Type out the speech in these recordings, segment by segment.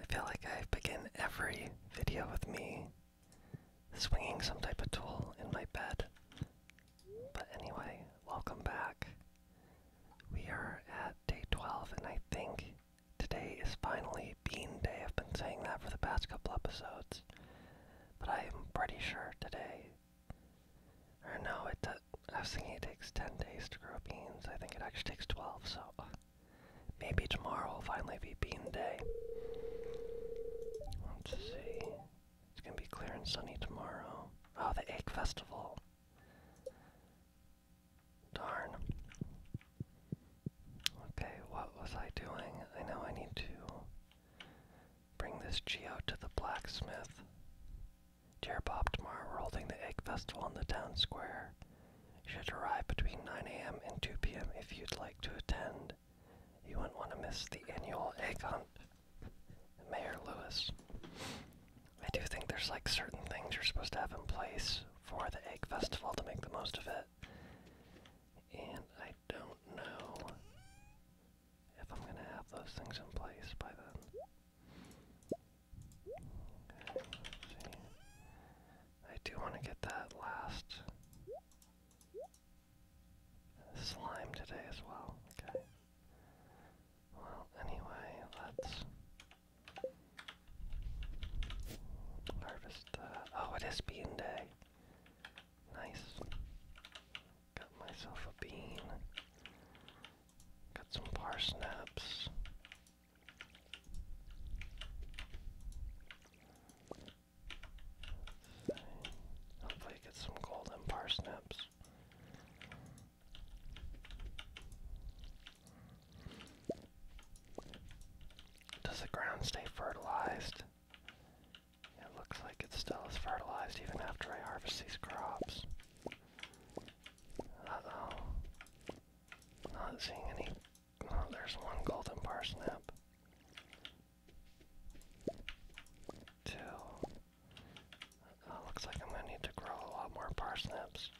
I feel like I have begin every video with me swinging some type of tool in my bed. But anyway, welcome back. We are at day 12, and I think today is finally bean day. I've been saying that for the past couple episodes, but I'm pretty sure today. Or no, it, I was thinking it takes 10 days to grow beans. I think it actually takes 12, so uh, maybe tomorrow will finally be bean day. Let's see. It's gonna be clear and sunny tomorrow. Oh, the egg festival. Darn. Okay, what was I doing? I know I need to bring this geo to the blacksmith. Dear Bob, tomorrow we're holding the egg festival on the town square. You should arrive between 9 a.m. and 2 p.m. if you'd like to attend. You wouldn't want to miss the annual egg hunt. Mayor Lewis. I do think there's like certain things you're supposed to have in place for the egg festival to make the most of it. And I don't know if I'm gonna have those things in place by then. I do want to get that last slime today as well. Okay. Well, anyway, let's harvest that. Oh, it is bean day. Nice. Got myself a bean. Got some parsnips. Hopefully get some golden parsnips. Does the ground stay fertilized? it looks like it still is fertilized even after I harvest these crops uh Not seeing any... Oh, there's one golden parsnip. Two. looks like I'm gonna need to grow a lot more parsnips.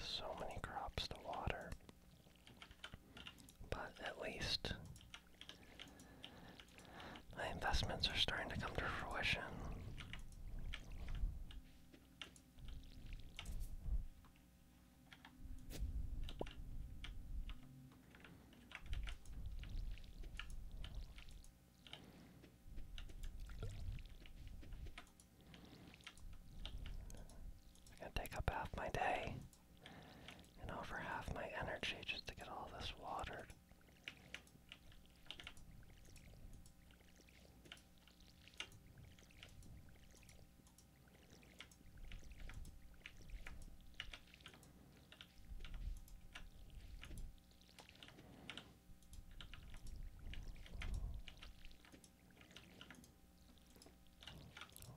So many crops to water, but at least my investments are starting to come to fruition. It's gonna take up half my day and over half my energy just to get all this watered.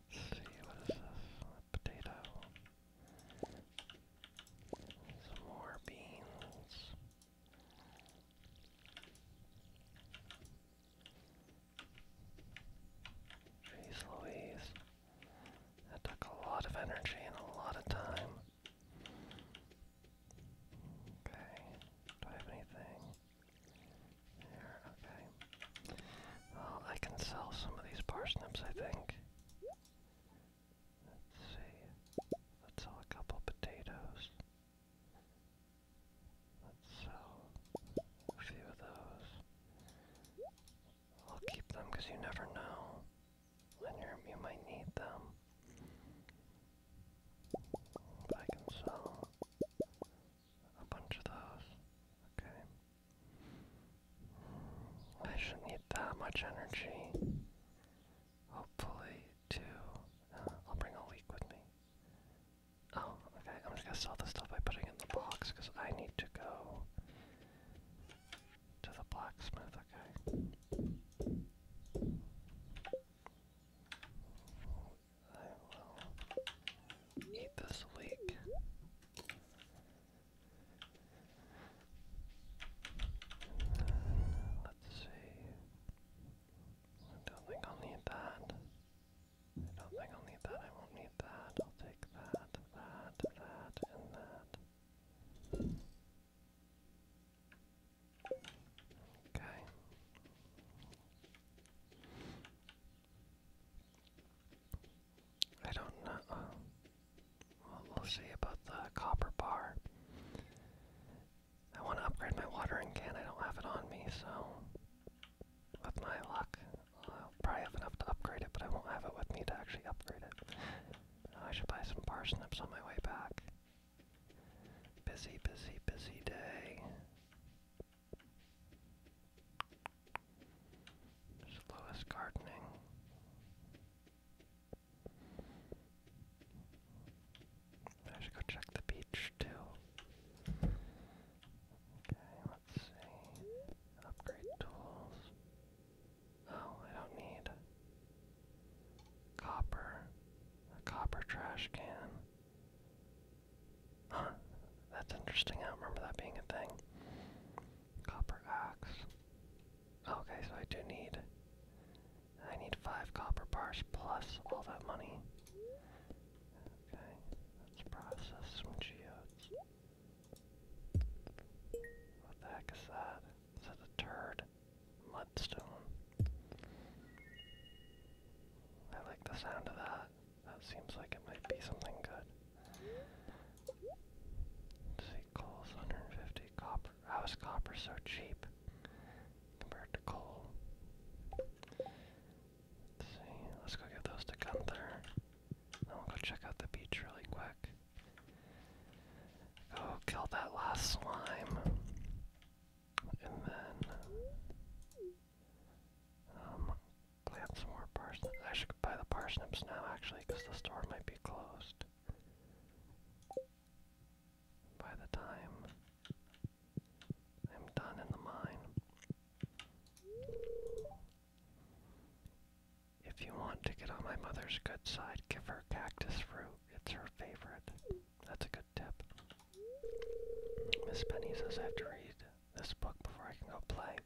Let's see, what is this? A potato. Some more beans. Jeez Louise. That took a lot of energy and a lot of time. Okay. Do I have anything? There, okay. Well, I can sell some of these parsnips, I think. Let's see. Let's sell a couple potatoes. Let's sell a few of those. I'll keep them because you never know when you you might need them. I can sell a bunch of those. Okay. I shouldn't need that much energy. Hopefully, too. Uh, I'll bring a leak with me. Oh, okay. I'm just gonna sell this stuff by putting in the box because I need to go to the blacksmith. Okay. I will eat this week. Let's see. I don't think I'll need that. I don't think I'll need that. I won't need that. I'll take that, that, that, and that. Okay. I don't know. Uh, we'll see about the copper bar. I want to upgrade my watering can. I don't have it on me, so with my luck, I'll probably have enough to upgrade it, but I won't have it with me to actually upgrade it. I should buy some parsnips on my way back. Busy, busy, busy day. There's gardening. I should go check the beach too. Okay, let's see. Upgrade tools. Oh, I don't need copper. A copper trash can. Huh, that's interesting. I don't remember that being a thing. Copper axe. Okay, so I do need. I need five copper bars plus all that money. Okay, let's process some geodes. What the heck is that? Is that a turd? Mudstone. I like the sound of that. That seems like it might be something good see, coal's 150 copper. How is copper so cheap compared to coal? see, let's go give those to Gunther. Then we'll go check out the beach really quick. Go kill that last slime. And then um, plant some more parsnips. I should buy the parsnips now actually because the store might be closed by the time I'm done in the mine. If you want to get on my mother's good side, give her cactus fruit. It's her favorite. That's a good tip. Miss Penny says I have to read this book before I can go play.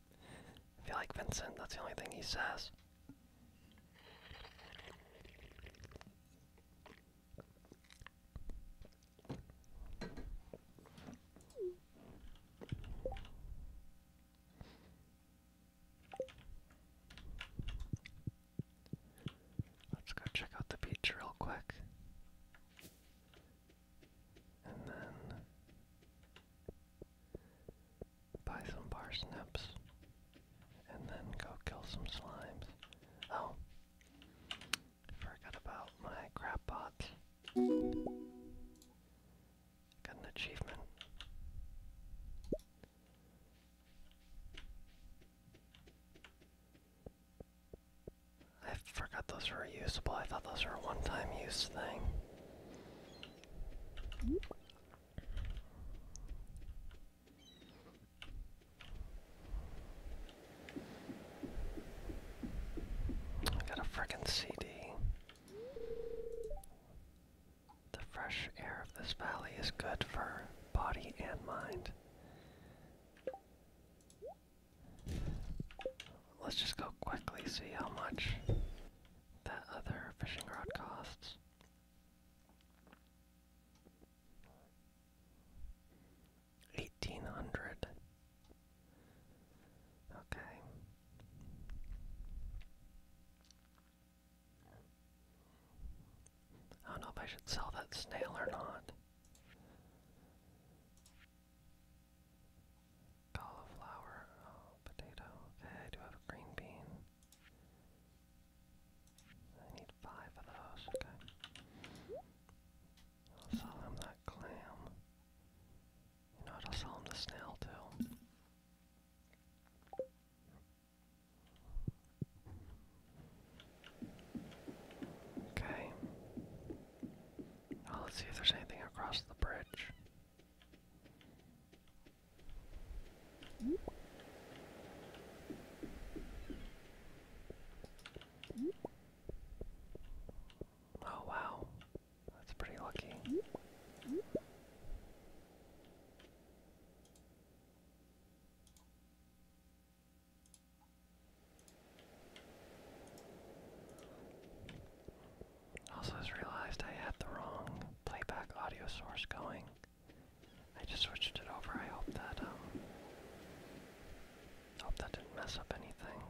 If you like Vincent, that's the only thing he says. Let's go check out the beach real quick. And then buy some parsnips, and then go kill some slimes. Oh, forgot about my crab pots. Got an achievement. I forgot those were reusable. I thought those were a one-time use thing. I got a frickin' CD. The fresh air of this valley is good for body and mind. Let's just go quickly see how much that other fishing rod costs. Eighteen hundred. Okay. I don't know if I should sell that snail or not cauliflower, oh, potato. Okay, I do have a green bean. I need five of those, okay. I'll sell him that clam. You know what, I'll sell him the snail too. Okay. Now oh, let's see if there's anything across the bridge. Oh, wow. That's pretty lucky. Also just realized I had the wrong playback audio source going. I just switched it over. I hope that um hope that didn't mess up anything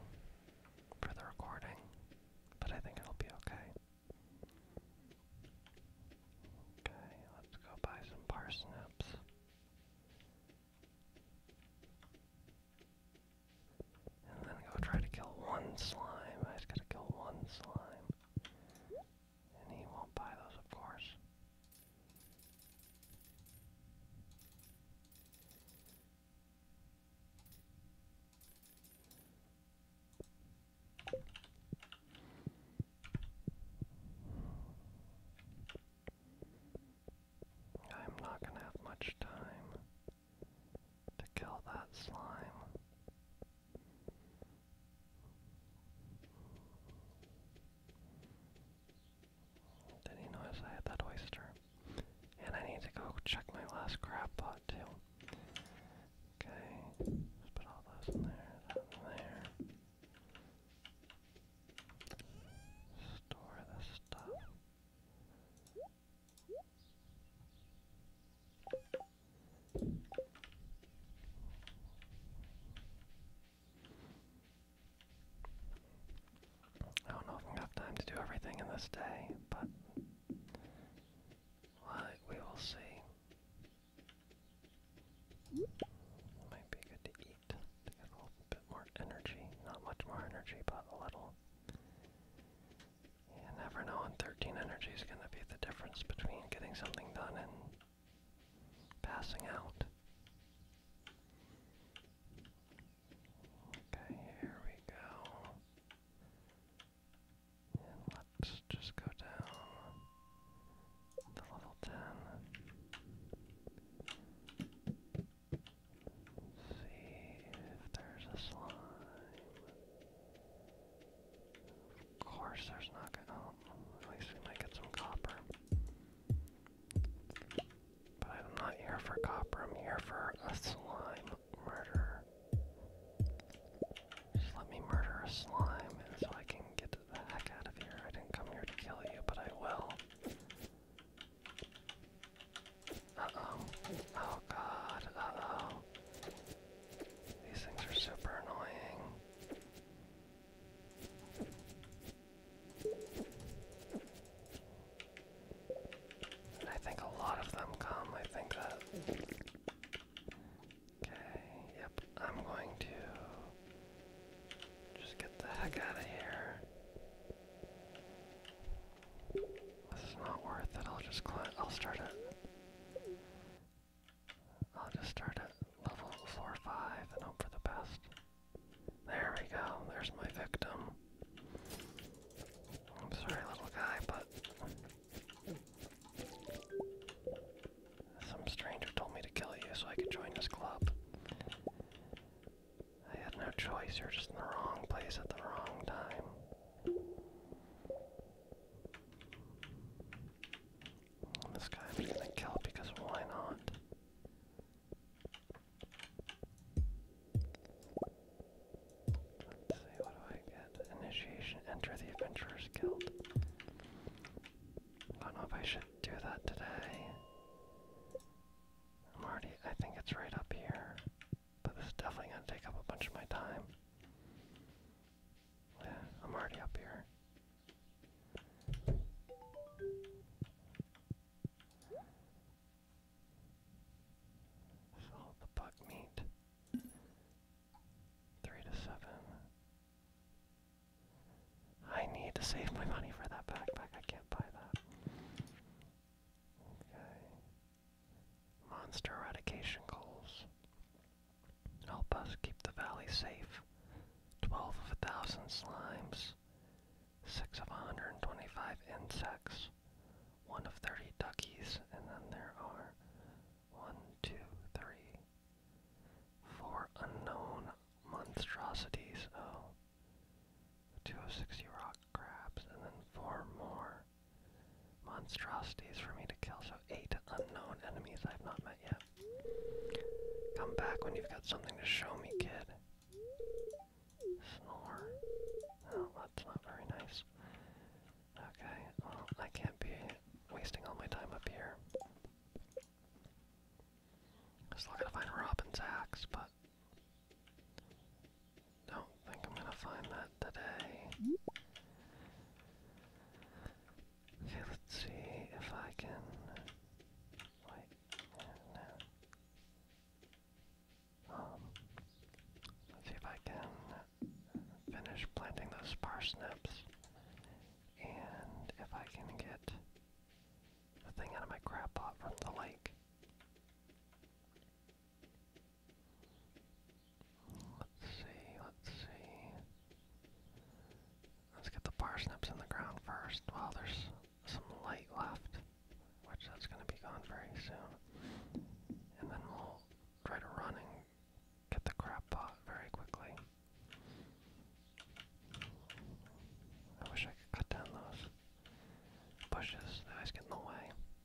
for the recording. But I think it'll be okay. Okay, let's go buy some parsnips. And then go try to kill one slime. I just gotta kill one slime. And he won't buy those, of course. I'm not going to have much time to kill that slime. Did he notice I had that oyster? And I need to go check my last crab pot too. Okay, put all those in there, that in there. Store this stuff. I don't know if i have time to do everything in this day, but we will see. Might be good to eat a little bit more energy. Not much more energy, but a little. You never know, and 13 energy is going to be the difference between getting something done and passing out. Okay, here we go. let's just go down to level 10. see if there's a slime. Of course, there's not gonna. Oh, at least we might get some copper. But I'm not here for copper, I'm here for a slime murder. Just let me murder a slime so I can get the heck out of here. I didn't come here to kill you, but I will. Uh-oh. Oh god, uh-oh. These things are super annoying. I think a lot of them come, I think that... Okay, yep, I'm going to just get the heck out of here. This is not worth it. I'll just I'll start it. I'll just start it. level four, five, and hope for the best. There we go. There's my victim. I'm sorry, little guy, but some stranger told me to kill you so I could join this club. I had no choice. You're just in the wrong place at the wrong time. This guy i gonna kill because why not? Let's see, what do I get? Initiation, enter the Adventurer's Guild. I don't know if I should do that today. i I think it's right up here. But this is definitely going to take up a bunch of my time. Yeah, I'm already up here. So the buck meat. Three to seven. I need to save my money for that backpack. I can't buy that. Okay. Monster eradication calls. Help us keep the valley safe. 12 of a thousand slimes. 6 of a 125 insects. 1 of 30 duckies. And then there are one, two, three, four unknown monstrosities. Oh. of 60 rock crabs. And then 4 more monstrosities for me to kill, so eight unknown enemies I've not met yet. Come back when you've got something to show me, kid. Snore. Oh, that's not very nice. Okay, well, I can't be wasting all my time up here. Still gotta find Robin's axe, but don't think I'm gonna find that today. Okay, let's see if I can. Wait, no. Um, see if I can finish planting those parsnips, and if I can get the thing out of my crab pot from the lake. Let's see, let's see. Let's get the parsnips in the ground first. Well, there's some light left, which that's going to be gone very soon. And then we'll try to run and get the crab pot very quickly. I wish I could cut down those bushes. They always get in the way.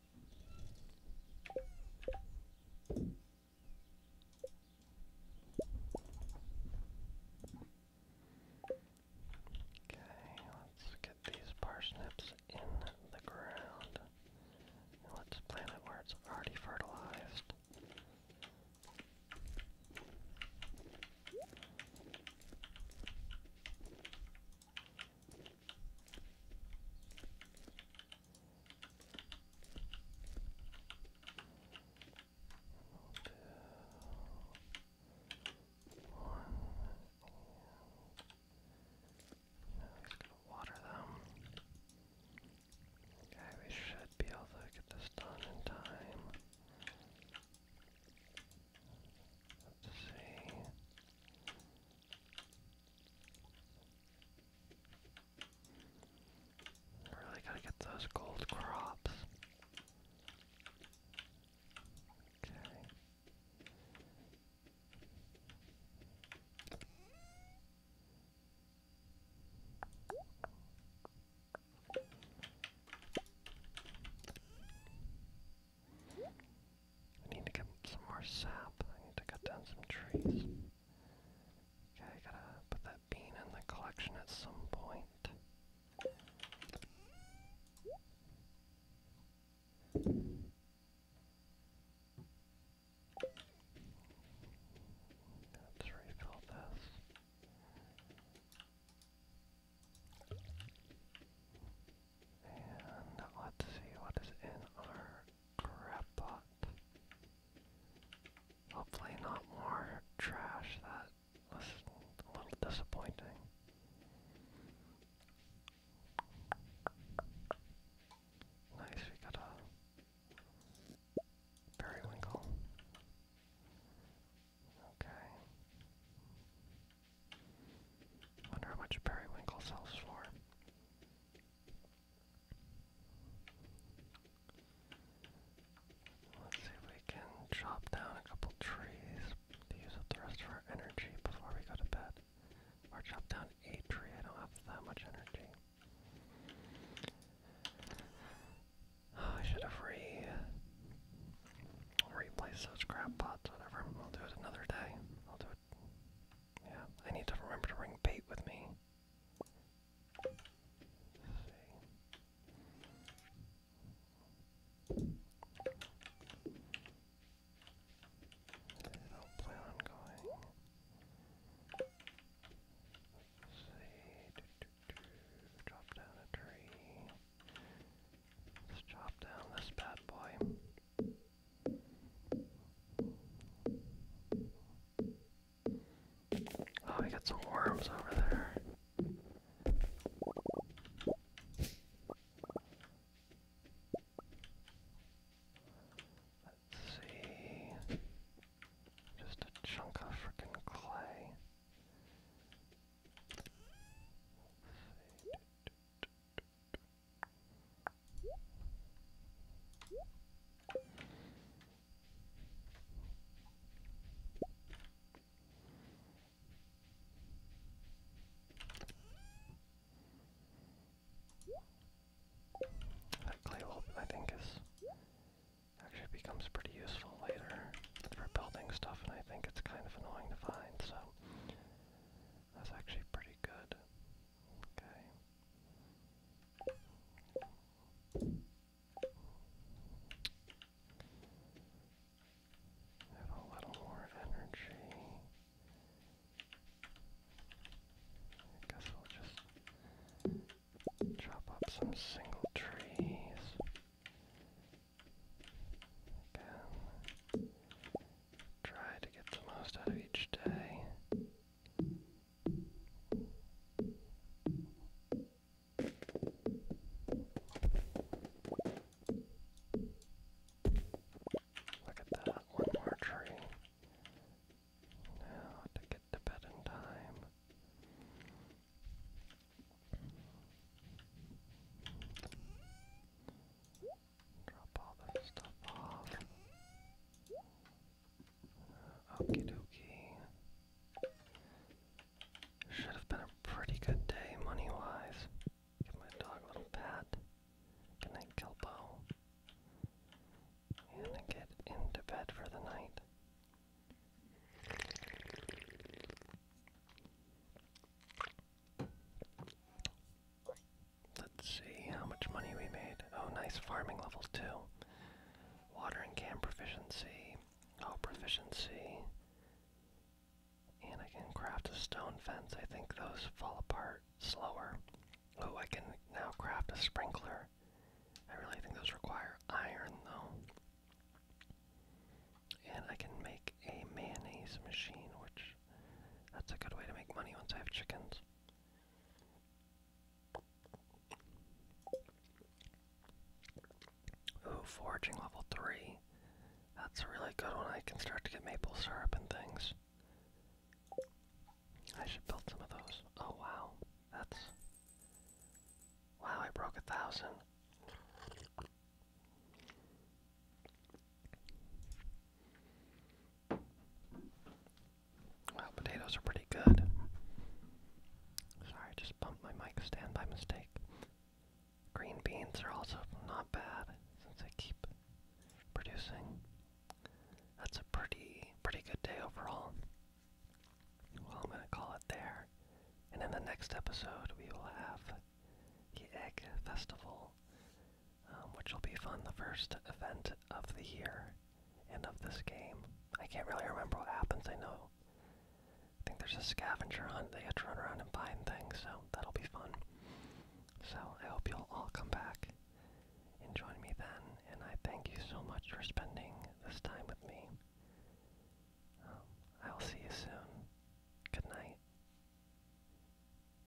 Okay, let's get these parsnips in the ground. And let's plant it where it's already fertilized just going water them. Okay, we should be able to get this done in time. Let's see. Really gotta get those gold crops. Okay. I need to get some more sap. I need to cut down some trees. Okay, I gotta put that bean in the collection at some point. Let's refill this. And let's see what is in our crap pot. Hopefully not more trash. That was a little disappointing. Nice, we got a periwinkle. Okay. Wonder how much periwinkle sells for. Let's see if we can chop down a couple trees to use up the rest of energy before we go to bed. Or chop down a tree, I don't have that much energy. Oh, I should have re replaced those crab pots, whatever. I'll do it another day. I'll do it yeah, I need to remember to bring bait with me. I don't plan on going. Let's see. Drop down a tree. Let's chop down this bad boy. Oh, we got some worms over there. Let's see. Just a chunk of frickin' clay. That clay I think, is actually becomes pretty useful later for building stuff, and I think it's kind of annoying to find, so that's actually pretty good. Okay. Have a little more energy. I guess we'll just chop up some single trees. Again try to get the most out of each day. Look at that, one more tree. Now to get to bed in time. Drop all that stuff off. Okie dokie. Should have been a pretty good day money wise. Give my dog a little pat. Good night, Kelpo. And get into bed for the night. Let's see how much money we made. Oh, nice farming levels too. Watering can proficiency. Oh, proficiency. And I can craft a stone fence. I think those fall apart slower. Oh, I can now craft a sprinkler. I really think those require iron though. And I can make a mayonnaise machine, which that's a good way to make money once I have chickens. Ooh, foraging level 3. That's really good one. I can start to get maple syrup and things. I should build some of those. Oh wow. That's. Wow, I broke a thousand. Well, potatoes are pretty good. Sorry, I just bumped my mic stand by mistake. Green beans are also not bad since they keep producing. That's a pretty pretty good day overall. Well, I'm gonna call it there. And in the next episode, we will have the Egg Festival um, which will be fun. The first event of the year and of this game. I can't really remember what happens. I know. I think there's a scavenger hunt. They have to run around and find things, so that'll be fun. So I hope you'll all come back and join me then. And I thank you so much for spending this time with me. I um, will see you soon. Good night.